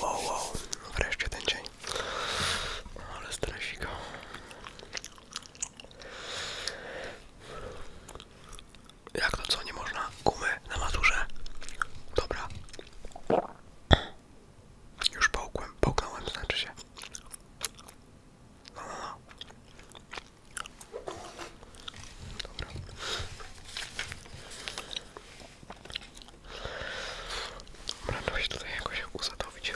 Wow, wow, wreszcie ten dzień. Ale stresika. Jak to co, nie można? Gumy na maturze? Dobra. Już połkłem, połknąłem, znaczy się. No, no, no. Dobra. Będę się tutaj jakoś usadowić.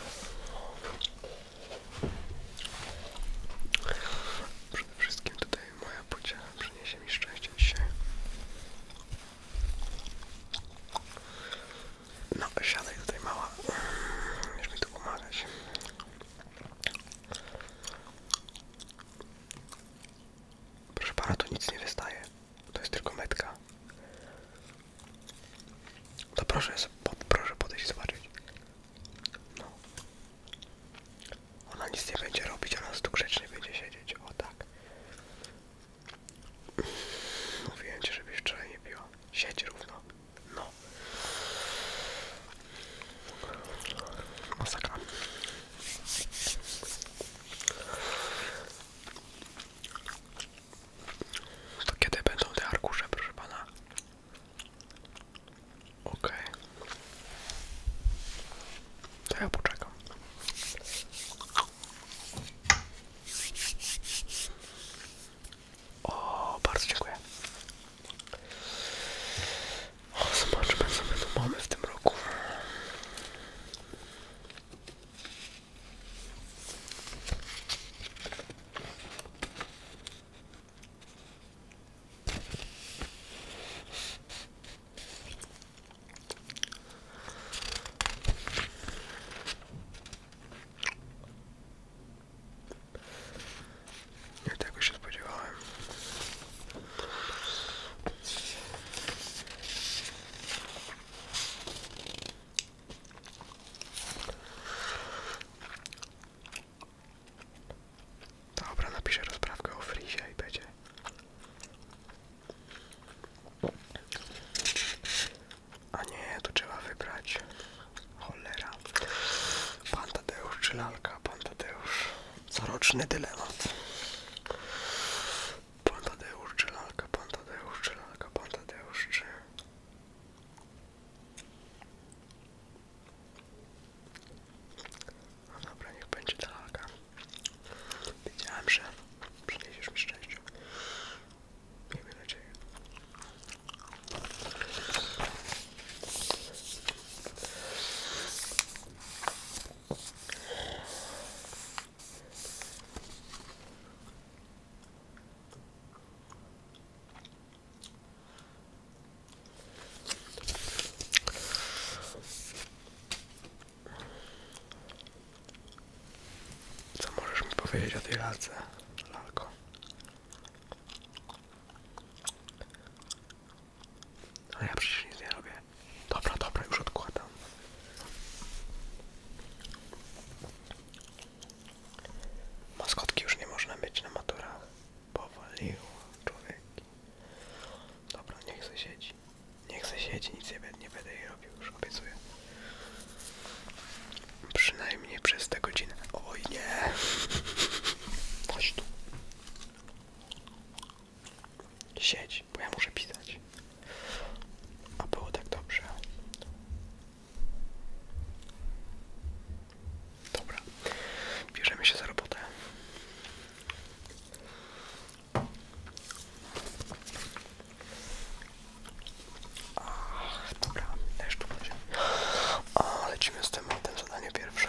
Przede wszystkim tutaj moja pociecha przyniesie mi szczęście dzisiaj. No, siadaj tutaj mała. Będziesz mm, mi tu pomagać. Proszę pana, to nic nie wystaje. To jest tylko metka. To proszę, proszę podejść zobaczyć. No. Ona nic nie będzie robić, ona tu grzecznie będzie siedzieć. O tak. Mówiłem ci, żebyś wczoraj nie piła. Siedź równo. No. Masakra. To kiedy będą te arkusze, proszę pana? Okej. Okay. To ja poczekam. O, bardzo dziękuję. O, zobaczmy co my tu mamy w tym roku. Nie tego się spodziewałem. Dobra, napiszę rozprawkę o frizie i będzie. A nie, tu trzeba wybrać. Cholera. Pan Tadeusz czy lalka? Pan Tadeusz. Coroczny dylemat. Pan Tadeusz czy lalka, pan Tadeusz czy lalka, pan Tadeusz No dobra, niech będzie ta lalka. Wiedziałem, że przyniesiesz mi szczęście. Miejmy nadzieję. Co możesz mi powiedzieć o tej lalce, a ja przecież nic nie robię. Dobra, dobra, już odkładam. Maskotki już nie można mieć na maturach. Powaliło człowieki. Dobra, niech se siedzi. Niech se siedzi, nic nie będę, nie będę jej robił, już obiecuję. Przynajmniej przez te godzinę. Oj nie! Chodź tu. Siedź, bo ja muszę pisać. A było tak dobrze. Dobra, bierzemy się za robotę. Ach, dobra, też tu będzie. A, lecimy z tematem, zadanie pierwsze.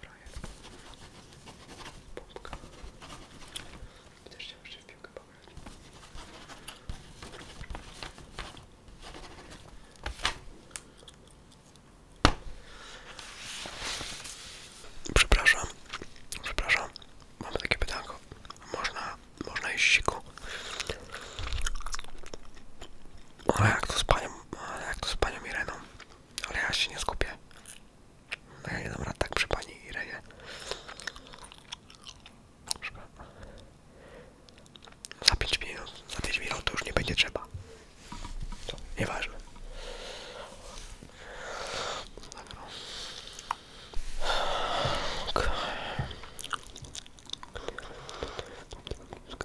Frajer. Pompka. Też chciałem jeszcze w piłkę pograć. Przepraszam, przepraszam, mam takie pytanko. Można, można jeść siku? Ale jak to z panią, ale jak to z panią Ireną? Ale ja się nie skupię. No Ja nie dam rad tak przy pani Irenie. Za 5 minut, za 5 minut to już nie będzie trzeba. To nieważne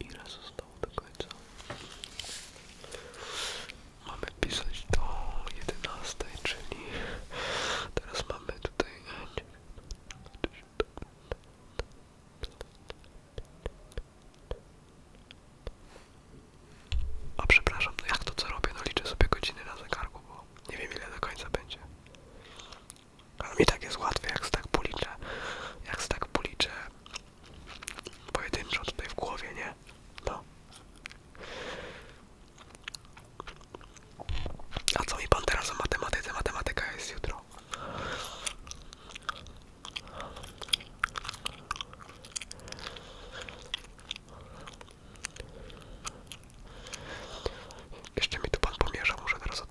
Ile zostało do końca? Mamy pisać do 11, czyli teraz mamy tutaj. A przepraszam, no jak to co robię? No liczę sobie godziny na zegarku, bo nie wiem ile do końca będzie. Ale mi tak jest łatwiej, jak z tak policzę, jak z tak policzę pojedynczo tutaj w głowie, nie? No. A co mi pan teraz o matematyce? Matematyka jest jutro. Jeszcze mi tu pan pomierza, muszę teraz od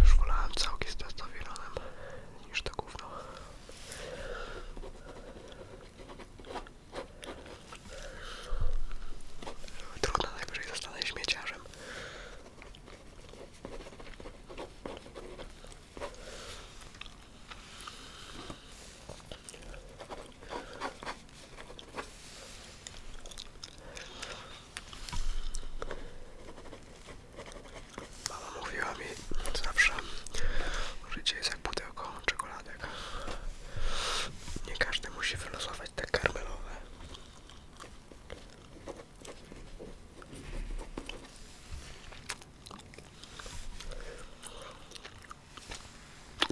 Już wolałem całki z testowironem niż to gówno. Trudno najwyżej zostanę śmieciarzem. Mama mówiła mi zawsze, życie jest jak pudełko czekoladek. Nie każdy musi wylosować te karmelowe.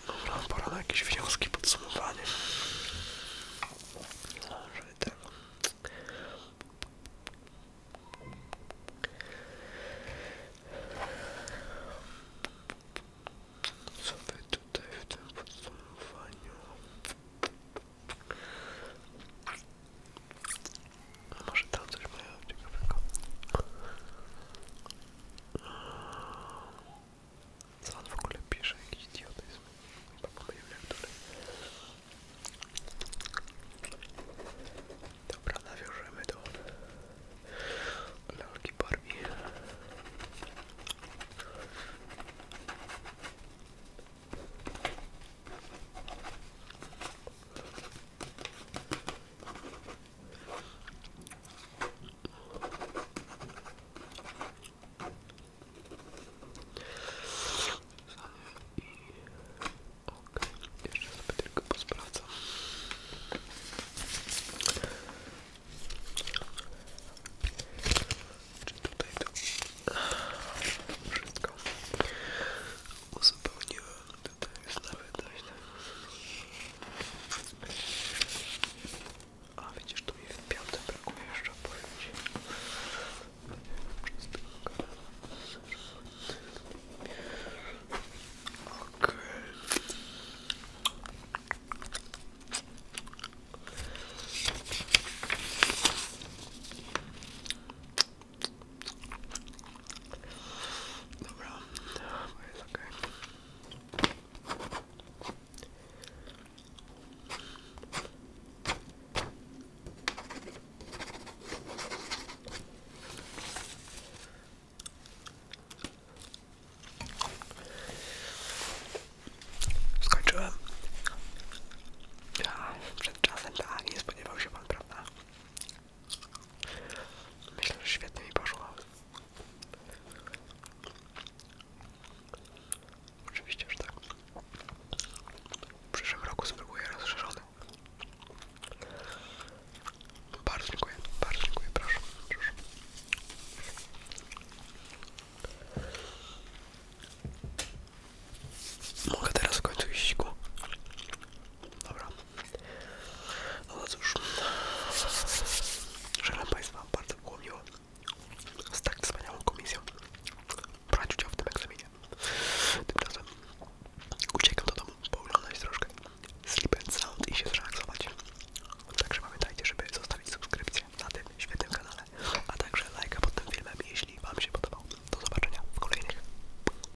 Dobra, pora na jakieś wnioski, podsumowanie. Tak. Co wy tutaj w tym podsumowaniu? Może tam coś mają ciekawego. Co on w ogóle pisze? Jakiś idiotyzm. Chyba pomylił dole. Dobra, nawiążemy do lalki Barbie. Okay. Jeszcze sobie tylko posprawdzam. Czy tutaj to wszystko uzupełniłem? tutaj jest nawet dość. A widzisz, tu mi w piąte brakuje jeszcze, powiem ci. Okej. Dobra, bo jest okej. Okay. Przed czasem tak, nie spodziewał się pan, prawda? Myślę, że świetnie mi poszło. Oczywiście, że tak. W przyszłym roku spróbuję rozszerzony. Bardzo dziękuję, proszę. Mogę teraz w końcu iść ku. Dobra. No, no cóż. Żegnam Państwa, bardzo było miło z tak wspaniałą komisją brać udział w tym egzaminie. Tymczasem uciekam do domu, pooglądać troszkę Sleep and Sound i się zrelaksować. Także pamiętajcie, żeby zostawić subskrypcję na tym świetnym kanale, a także lajka pod tym filmem, jeśli Wam się podobał. Do zobaczenia w kolejnych